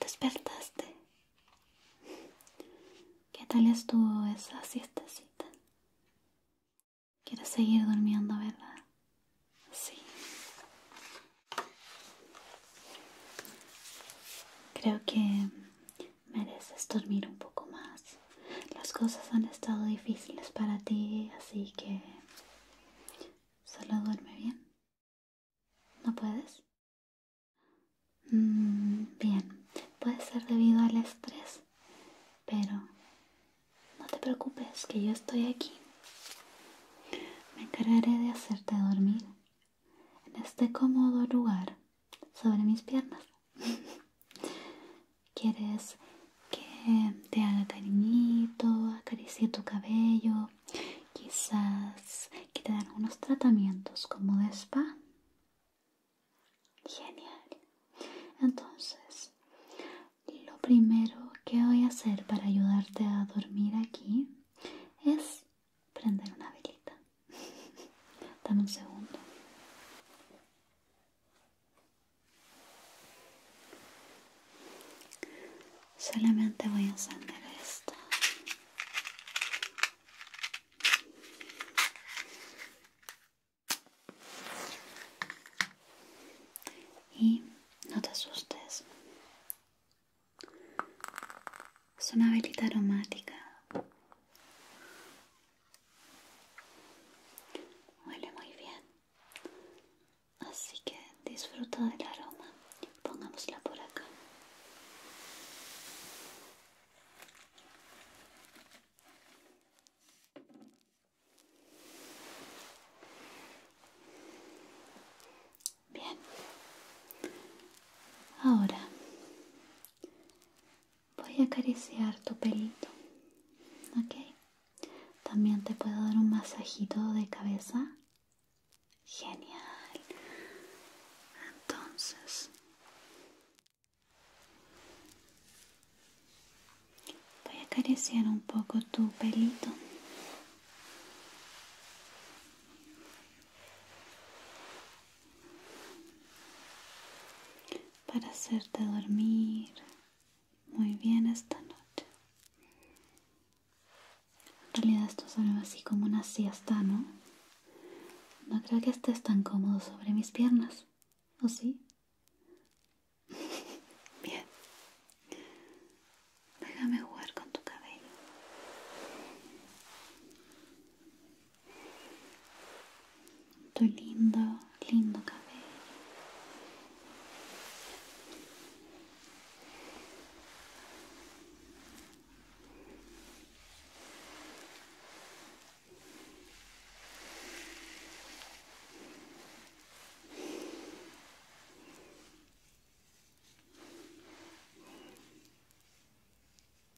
¿Despertaste? ¿Qué tal estuvo esa siestecita? ¿Quieres seguir durmiendo, verdad? Sí. Creo que mereces dormir un poco más. Las cosas han estado difíciles para ti, así que solo duerme bien. ¿No puedes? Mm, bien, puede ser debido al estrés, pero no te preocupes, que yo estoy aquí. Me encargaré de hacerte dormir en este cómodo lugar sobre mis piernas. ¿Quieres que te haga cariñito, acaricie tu cabello? Quizás que te den unos tratamientos como de spa. Genial. Entonces, lo primero que voy a hacer para ayudarte a dormir aquí es prender una velita. Dame un segundo. Solamente voy a encender esta. Y no te asustes. Es una velita aromática. Huele muy bien. Así que disfruta del aroma. Pongámosla por acá. Bien. Ahora voy a acariciar tu pelito ok también te puedo dar un masajito de cabeza genial entonces voy a acariciar un poco tu pelito para hacerte dormir muy bien esta noche. En realidad esto es así como una siesta, ¿no? No creo que estés tan cómodo sobre mis piernas, ¿o sí? bien. Déjame jugar con tu cabello tu lindo, lindo cabello.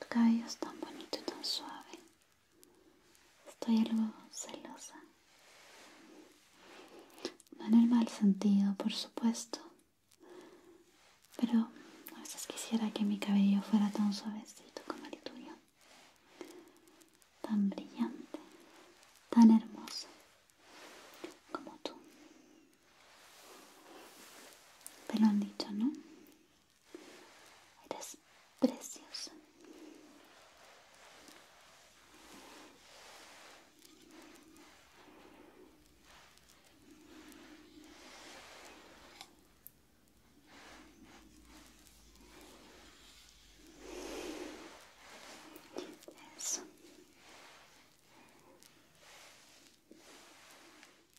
Tu cabello es tan bonito y tan suave. Estoy algo celosa. No en el mal sentido, por supuesto. Pero a veces quisiera que mi cabello fuera tan suavecito como el tuyo. Tan brillante, tan hermoso como tú. Te lo han dicho, ¿no? Eres precioso.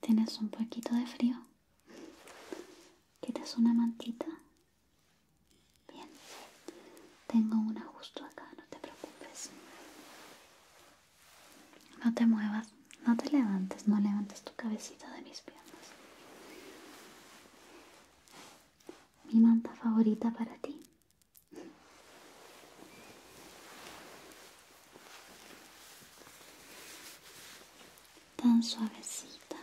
¿Tienes un poquito de frío? ¿Quieres una mantita? Bien, tengo una justo acá, no te preocupes. No te muevas, no te levantes, no levantes tu cabecita de mis piernas. Mi manta favorita para ti tan suavecita.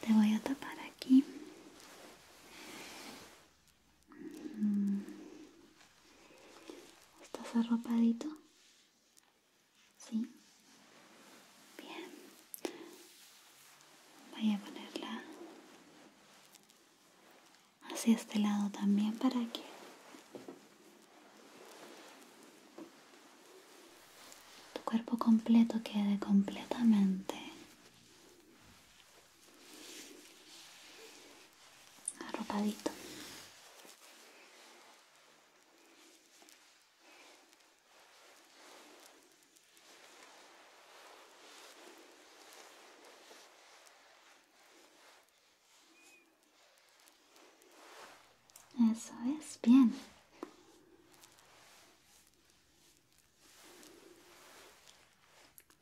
Te voy a tapar aquí. Mm. ¿Estás arropadito? Sí. Bien, voy a ponerla hacia este lado también para que tu cuerpo completo quede completamente arropadito. Eso es bien.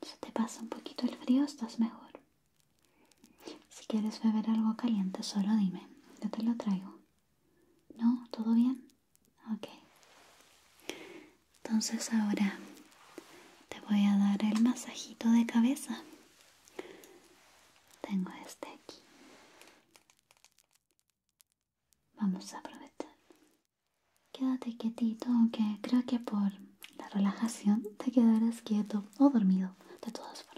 Si te pasa un poquito el frío, estás mejor. Si quieres beber algo caliente, solo dime. Yo te lo traigo. ¿No? ¿Todo bien? Ok. Entonces ahora te voy a dar el masajito de cabeza. Tengo este aquí. Vamos a aprovechar. Quédate quietito, aunque creo que por la relajación te quedarás quieto o dormido, de todas formas.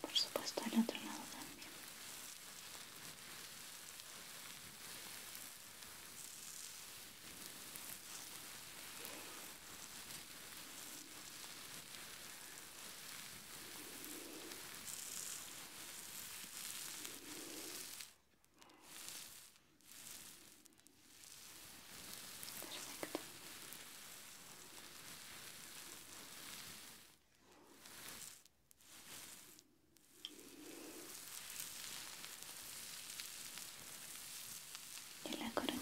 Por supuesto, el otro lado también. Perfecto. De la coronilla.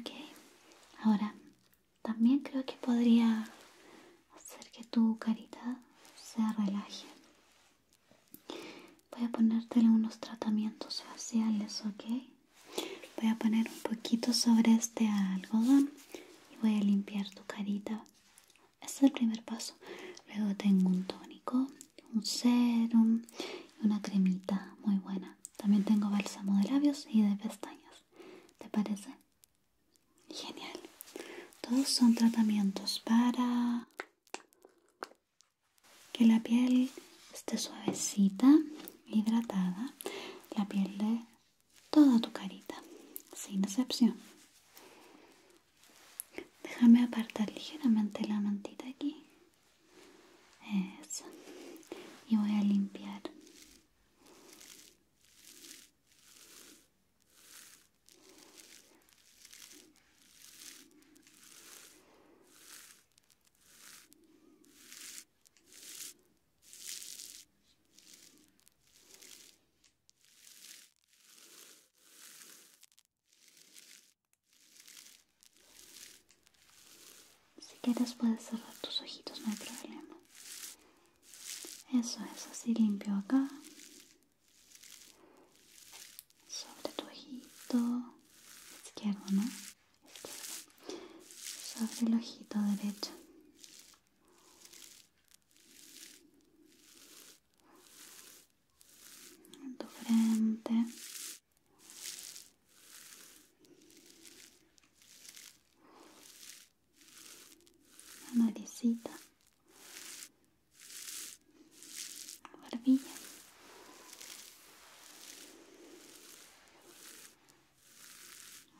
Okay, ahora también creo que podría hacer que tu carita se relaje Voy a ponerte unos tratamientos faciales, ¿ok? Voy a poner un poquito sobre este algodón y voy a limpiar tu carita. es el primer paso. Luego tengo un tónico, un serum y una cremita muy buena. También tengo bálsamo de labios y de pestañas. ¿Te parece? Genial. Todos son tratamientos para que la piel esté suavecita, hidratada, la piel de toda tu carita, sin excepción. Déjame apartar ligeramente la mantita aquí. Eso. Y voy a limpiar si quieres puedes cerrar tus ojitos, no hay problema. Eso es así limpio acá sobre tu ojito izquierdo, ¿no? Sobre el ojito derecho. En tu frente. La naricita la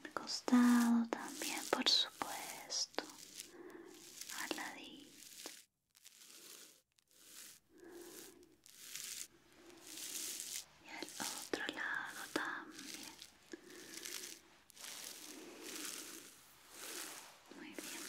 El costado también, por supuesto. Al ladito. Y el otro lado también. Muy bien.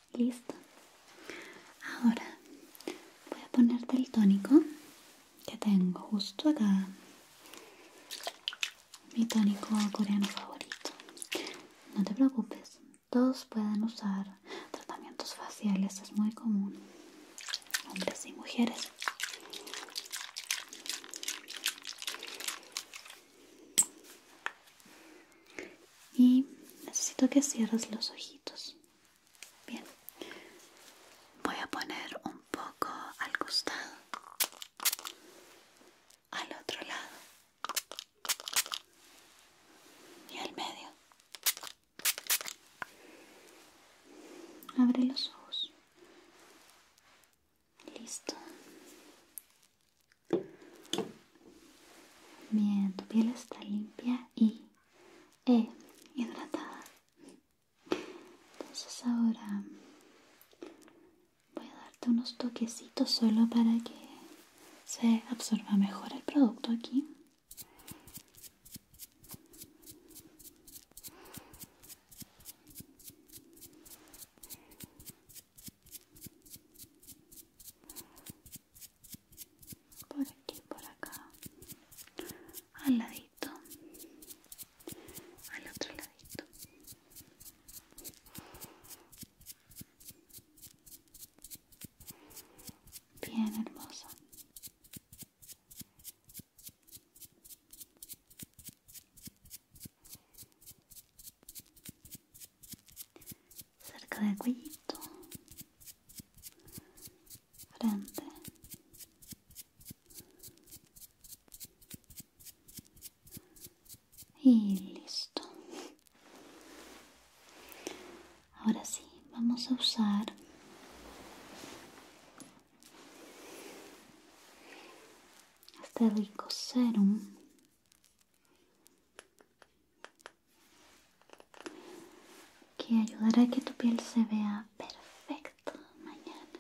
Listo. Ahora voy a ponerte el tónico que tengo justo acá. Mi tónico coreano favorito. No te preocupes, todos pueden usar tratamientos faciales, es muy común. Hombres y mujeres. Y necesito que cierres los ojitos. Bien, voy a poner un poco al costado, al otro lado y al medio. Abre los ojos. Listo. Bien, tu piel está limpia y eh, hidratada. Entonces ahora voy a darte unos toquecitos solo para que se absorba mejor el producto aquí por aquí, por acá, al ladito, al otro ladito. Bien hermoso cerca de cuellito, frente, y listo. Ahora sí, vamos a usar este rico serum que ayudará a que tu piel se vea perfecta mañana.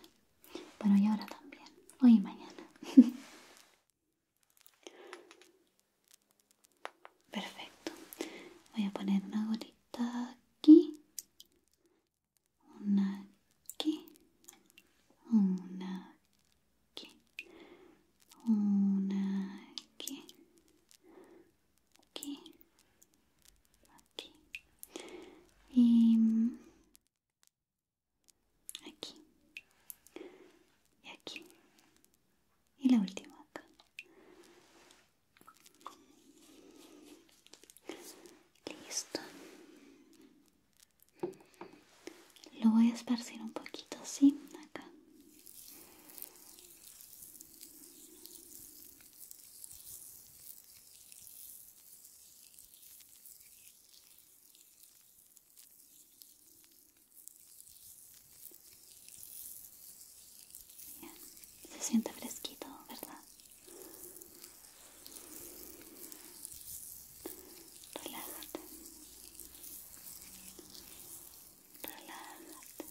Bueno, y ahora también, hoy y mañana. Perfecto. Voy a poner una gorita aquí, una aquí, una aquí, una aquí, aquí, aquí y aquí y aquí y la última acá listo lo voy a esparcir un poquito así se siente fresquito verdad relájate relájate.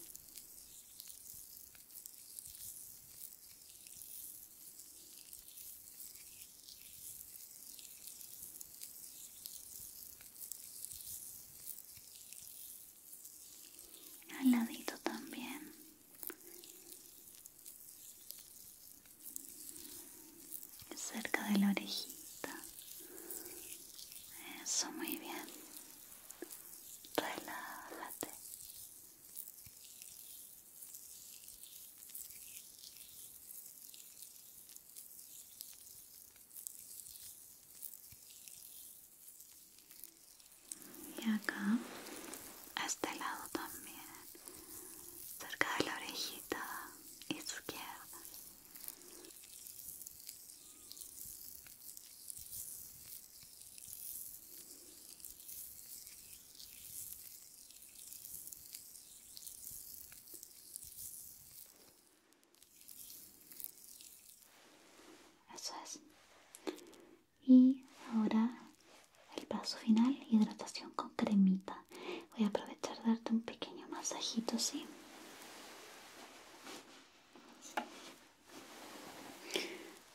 Al ladito también. Cerca de la orejita. Eso, muy bien relájate y acá a este lado también cerca de la orejita izquierda eso es. Y ahora el paso final, hidratación con cremita. Voy a aprovechar darte un pequeño masajito, ¿sí?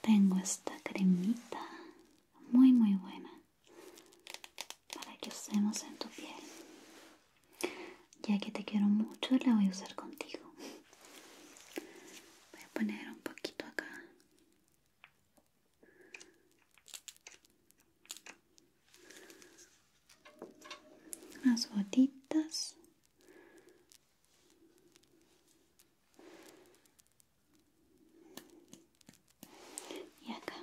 Tengo esta cremita muy muy buena para que usemos en tu piel. Ya que te quiero mucho, la voy a usar contigo. Voy a poner un poquito acá. Unas gotitas y acá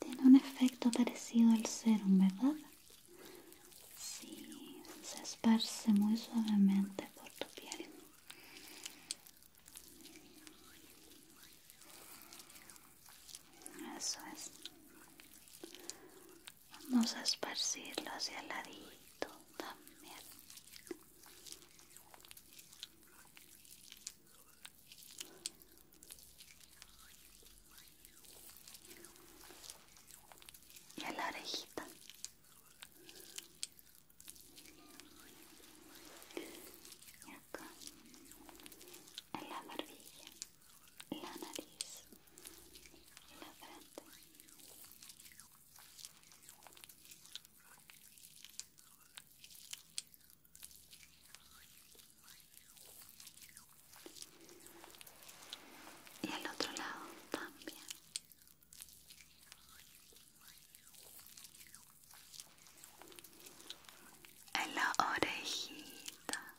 tiene un efecto parecido al serum verdad sí se esparce muy suavemente por tu piel eso es. Vamos a esparcirlo hacia el ladito también. Y a la orejita. Y acá. En la barbilla la nariz, la frente. Y el otro lado también. En la orejita.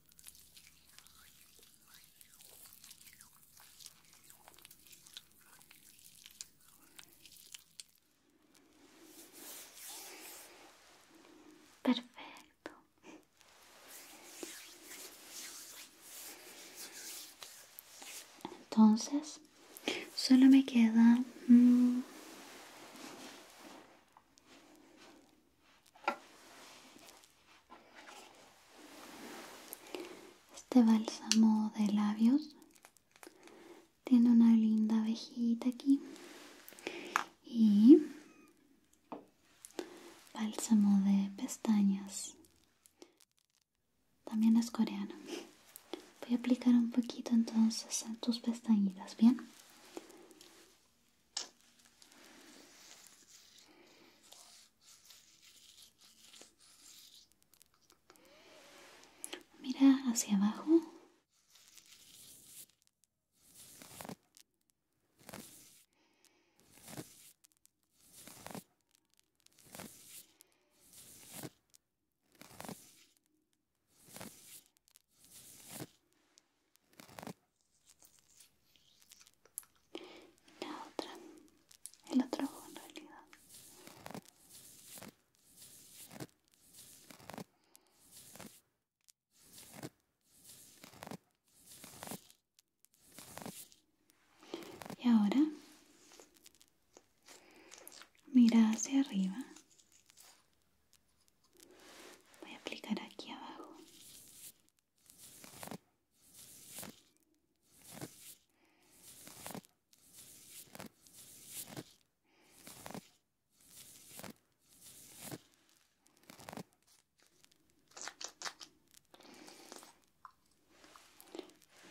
Perfecto. Entonces, solo me queda... Mm, este bálsamo de labios tiene una linda abejita aquí y bálsamo de pestañas. También es coreano. Voy a aplicar un poquito entonces en tus pestañitas, ¿bien? Mira hacia abajo la otra, el otro en realidad. Y ahora mira hacia arriba. Voy a aplicar aquí abajo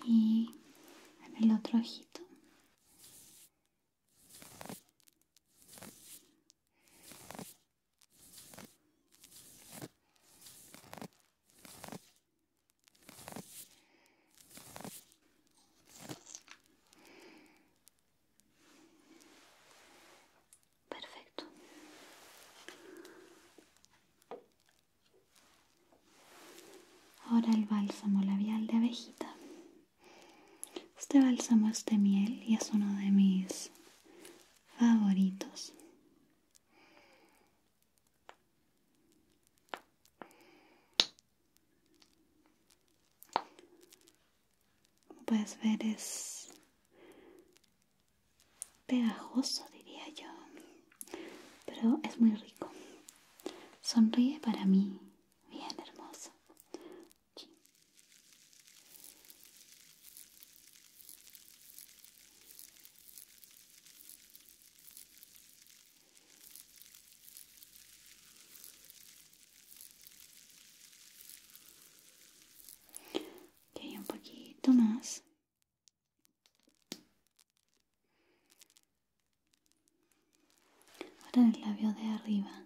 y en el otro ojito Perfecto. Ahora el bálsamo labial de abejita. Este bálsamo es de miel y es uno de mis favoritos puedes ver es pegajoso, diría yo, pero es muy rico. Sonríe para mí, bien hermoso. Ok, un poquito más. Ahora el labio de arriba.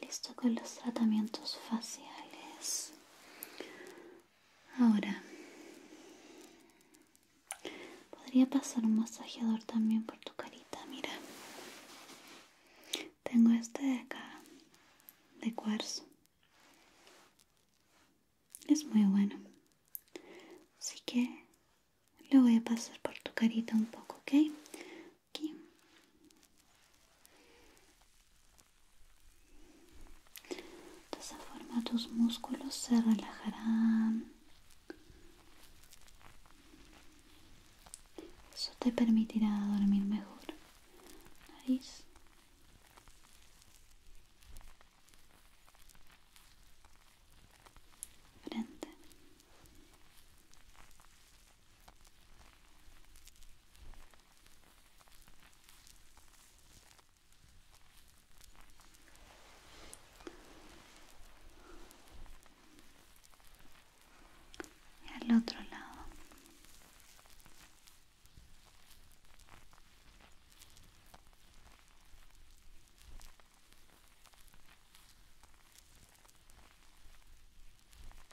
Listo con los tratamientos faciales. Ahora, podría pasar un masajeador también por tu carita, mira. Tengo este de acá, de cuarzo. Es muy bueno. Así que lo voy a pasar por tu carita un poco, ¿ok? de esa forma tus músculos se relajarán eso te permitirá dormir mejor nariz frente y al otro lado.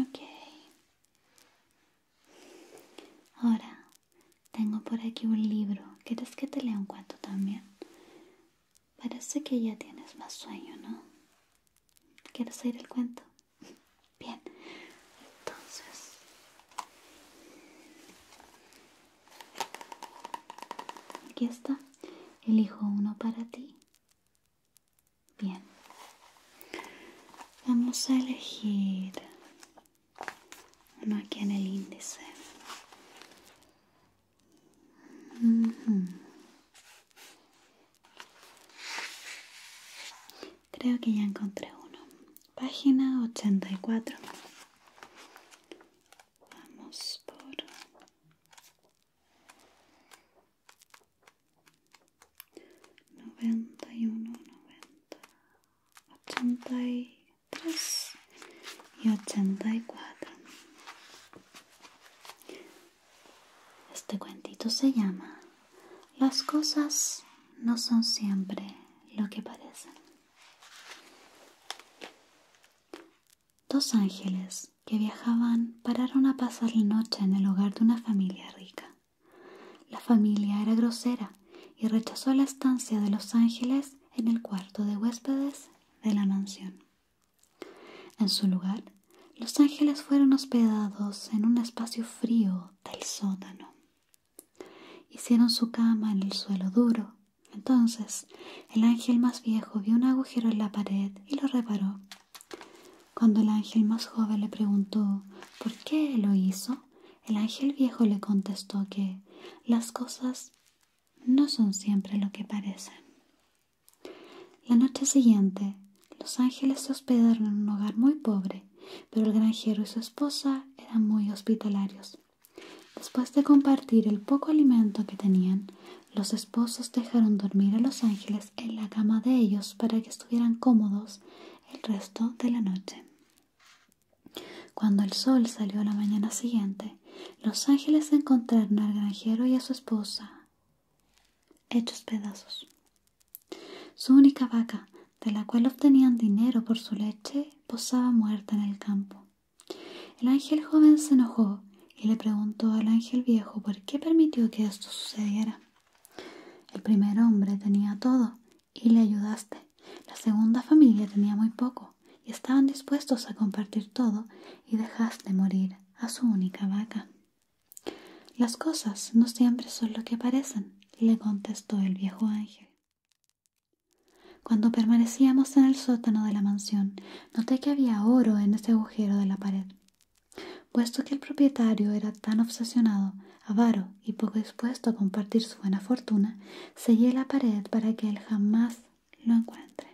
Ok. Ahora, tengo por aquí un libro. ¿Quieres que te lea un cuento también? Parece que ya tienes más sueño, ¿no? ¿Quieres oír el cuento? Bien. Entonces... Aquí está. Elijo uno para ti Bien. Vamos a elegir uno aquí en el índice. Creo que ya encontré uno. Página 84. Vamos por noventa y uno, noventa, ochenta y tres y cuatro. Este cuentito se llama Las cosas no son siempre lo que parecen. Dos ángeles que viajaban pararon a pasar la noche en el hogar de una familia rica. La familia era grosera y rechazó la estancia de los ángeles en el cuarto de huéspedes de la mansión. En su lugar, los ángeles fueron hospedados en un espacio frío del sótano. Hicieron su cama en el suelo duro. Entonces, el ángel más viejo vio un agujero en la pared y lo reparó cuando el ángel más joven le preguntó por qué lo hizo, el ángel viejo le contestó que las cosas no son siempre lo que parecen. La noche siguiente, los ángeles se hospedaron en un hogar muy pobre, pero el granjero y su esposa eran muy hospitalarios. Después de compartir el poco alimento que tenían, los esposos dejaron dormir a los ángeles en la cama de ellos para que estuvieran cómodos el resto de la noche. Cuando el sol salió la mañana siguiente, los ángeles encontraron al granjero y a su esposa hechos pedazos. Su única vaca, de la cual obtenían dinero por su leche, posaba muerta en el campo. El ángel joven se enojó y le preguntó al ángel viejo por qué permitió que esto sucediera. El primer hombre tenía todo y le ayudaste. La segunda familia tenía muy poco y estaban dispuestos a compartir todo y dejaste morir a su única vaca. Las cosas no siempre son lo que parecen, le contestó el viejo ángel. Cuando permanecíamos en el sótano de la mansión, noté que había oro en ese agujero de la pared. Puesto que el propietario era tan obsesionado, avaro y poco dispuesto a compartir su buena fortuna, sellé la pared para que él jamás lo encuentre.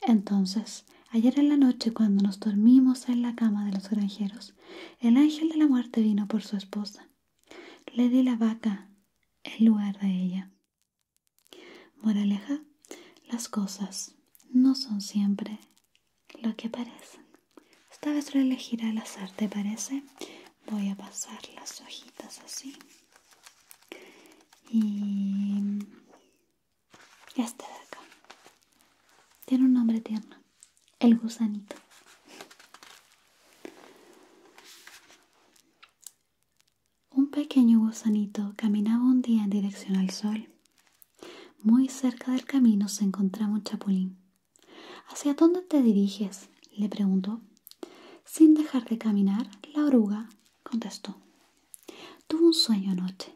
Entonces, ayer en la noche cuando nos dormimos en la cama de los granjeros, el ángel de la muerte vino por su esposa. Le di la vaca en lugar de ella. Moraleja, las cosas no son siempre lo que parecen. Esta vez a elegir al azar, ¿te parece? Voy a pasar las hojitas así. Y este de acá. Tiene un nombre tierno. El gusanito. Un pequeño gusanito caminaba un día en dirección al sol muy cerca del camino se encontraba un chapulín. ¿Hacia dónde te diriges? le preguntó. Sin dejar de caminar, la oruga contestó. Tuve un sueño anoche.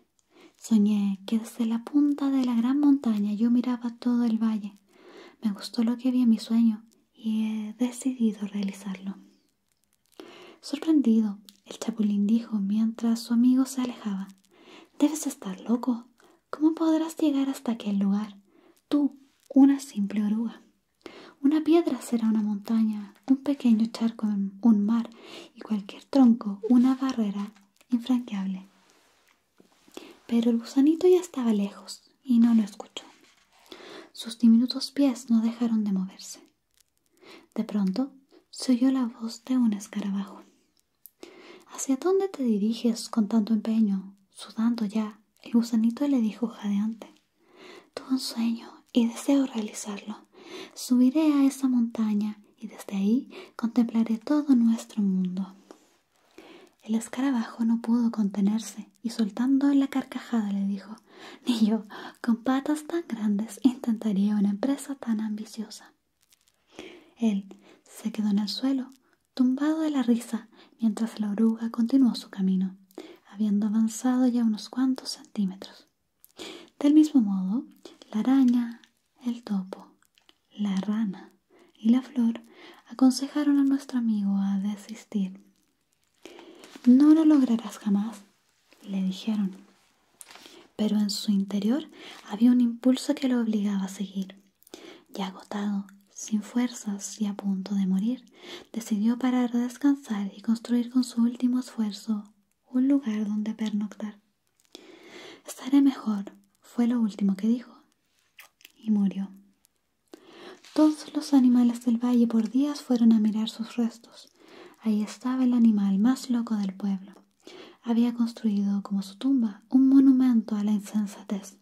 Soñé que desde la punta de la gran montaña yo miraba todo el valle. Me gustó lo que vi en mi sueño y he decidido realizarlo. Sorprendido, el chapulín dijo mientras su amigo se alejaba Debes estar loco. ¿Cómo podrás llegar hasta aquel lugar? Tú, una simple oruga. Una piedra será una montaña, un pequeño charco un mar y cualquier tronco una barrera infranqueable. Pero el gusanito ya estaba lejos y no lo escuchó. Sus diminutos pies no dejaron de moverse. De pronto se oyó la voz de un escarabajo. ¿Hacia dónde te diriges con tanto empeño? Sudando ya, el gusanito le dijo jadeante. Tuve un sueño y deseo realizarlo. Subiré a esa montaña y desde ahí contemplaré todo nuestro mundo. El escarabajo no pudo contenerse y soltando la carcajada le dijo Ni yo, con patas tan grandes intentaría una empresa tan ambiciosa. Él se quedó en el suelo, tumbado de la risa, mientras la oruga continuó su camino, habiendo avanzado ya unos cuantos centímetros. Del mismo modo, la araña, el topo, la rana y la flor aconsejaron a nuestro amigo a desistir. No lo lograrás jamás, le dijeron, pero en su interior había un impulso que lo obligaba a seguir. Y agotado, sin fuerzas y a punto de morir, decidió parar a descansar y construir con su último esfuerzo un lugar donde pernoctar. Estaré mejor, fue lo último que dijo, y murió. Todos los animales del valle por días fueron a mirar sus restos. Ahí estaba el animal más loco del pueblo. Había construido como su tumba un monumento a la insensatez.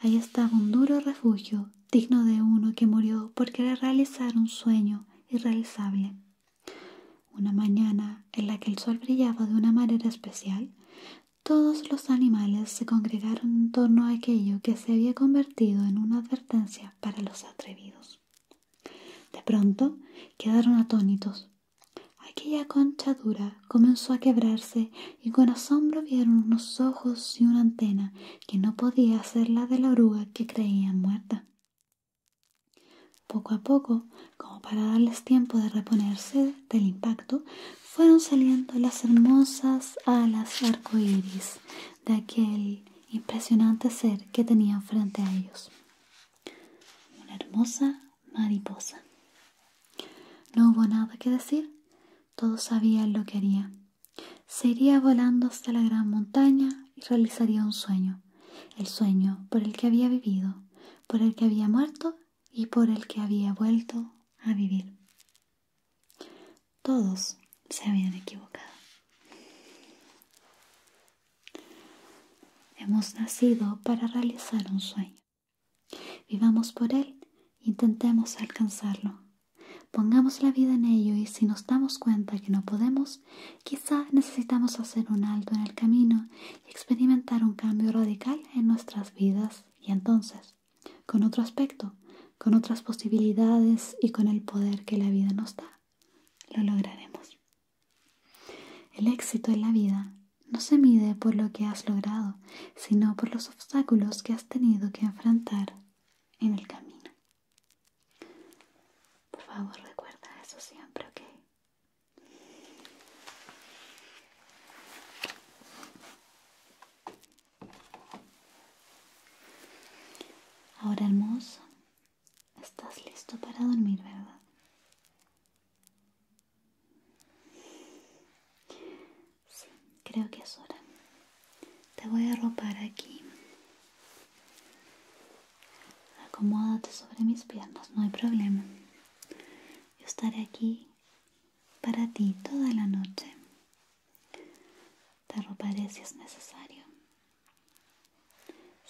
Ahí estaba un duro refugio digno de uno que murió por querer realizar un sueño irrealizable. Una mañana en la que el sol brillaba de una manera especial, todos los animales se congregaron en torno a aquello que se había convertido en una advertencia para los atrevidos. De pronto quedaron atónitos. Aquella concha dura comenzó a quebrarse y con asombro vieron unos ojos y una antena que no podía ser la de la oruga que creían muerta. Poco a poco, como para darles tiempo de reponerse del impacto, fueron saliendo las hermosas alas arcoíris de aquel impresionante ser que tenían frente a ellos una hermosa mariposa. No hubo nada que decir, todos sabían lo que haría. Se iría volando hasta la gran montaña y realizaría un sueño, el sueño por el que había vivido, por el que había muerto y por el que había vuelto a vivir. Todos se habían equivocado. Hemos nacido para realizar un sueño. Vivamos por él, intentemos alcanzarlo. Pongamos la vida en ello y si nos damos cuenta que no podemos, quizá necesitamos hacer un alto en el camino y experimentar un cambio radical en nuestras vidas y entonces, con otro aspecto, con otras posibilidades y con el poder que la vida nos da, lo lograremos. El éxito en la vida no se mide por lo que has logrado, sino por los obstáculos que has tenido que enfrentar en el camino. Por favor, recuerda eso siempre, ¿ok? Ahora hermoso, Estás listo para dormir, ¿verdad? Sí, creo que es hora. Te voy a ropar aquí. Acomódate sobre mis piernas, no hay problema. Yo estaré aquí para ti toda la noche. Te roparé si es necesario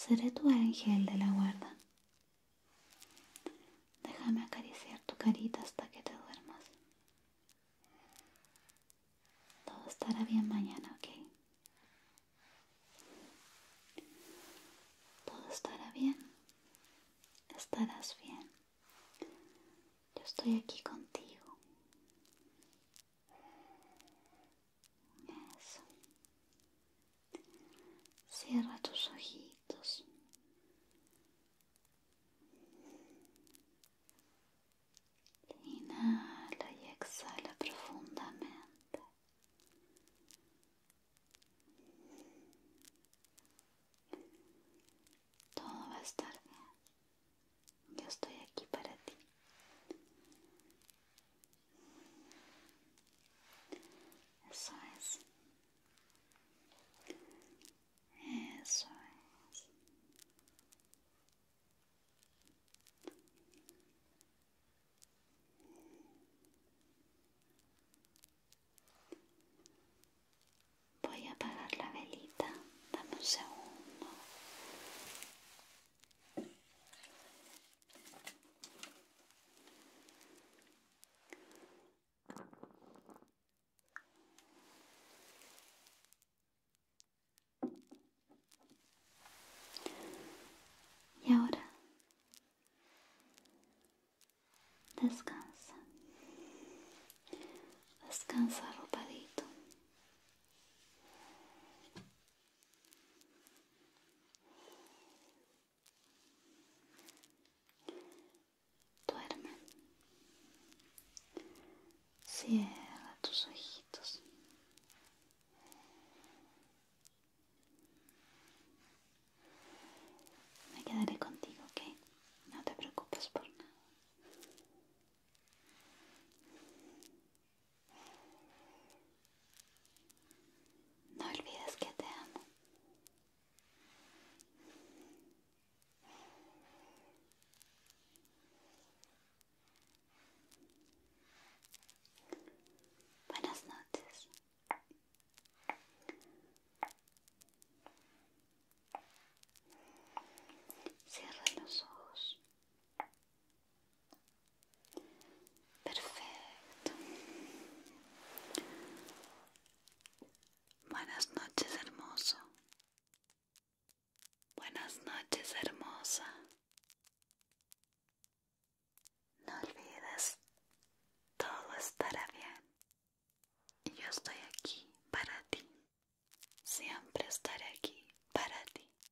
Seré tu ángel de la guarda. Déjame acariciar tu carita hasta que te duermas. Todo estará bien mañana, ¿ok? Todo estará bien. Estarás bien. Yo estoy aquí contigo. Cierra tus ojitos. Inhala y exhala profundamente. Todo va a estar bien. Yo estoy aquí para ti. Eso es. Eso es. Voy a apagar la velita. Dame un segundo. Y ahora descansa, descansa arropadito Duerme. Cierra tus ojitos. Me quedaré contigo, ¿ok? No te preocupes por nada. No olvides que te amo. Buenas noches. Cierra los ojos. Perfecto. Buenas noches, hermoso. Buenas noches, hermosa. No olvides, todo estará bien. Y yo estoy aquí para ti. Siempre estaré aquí para ti.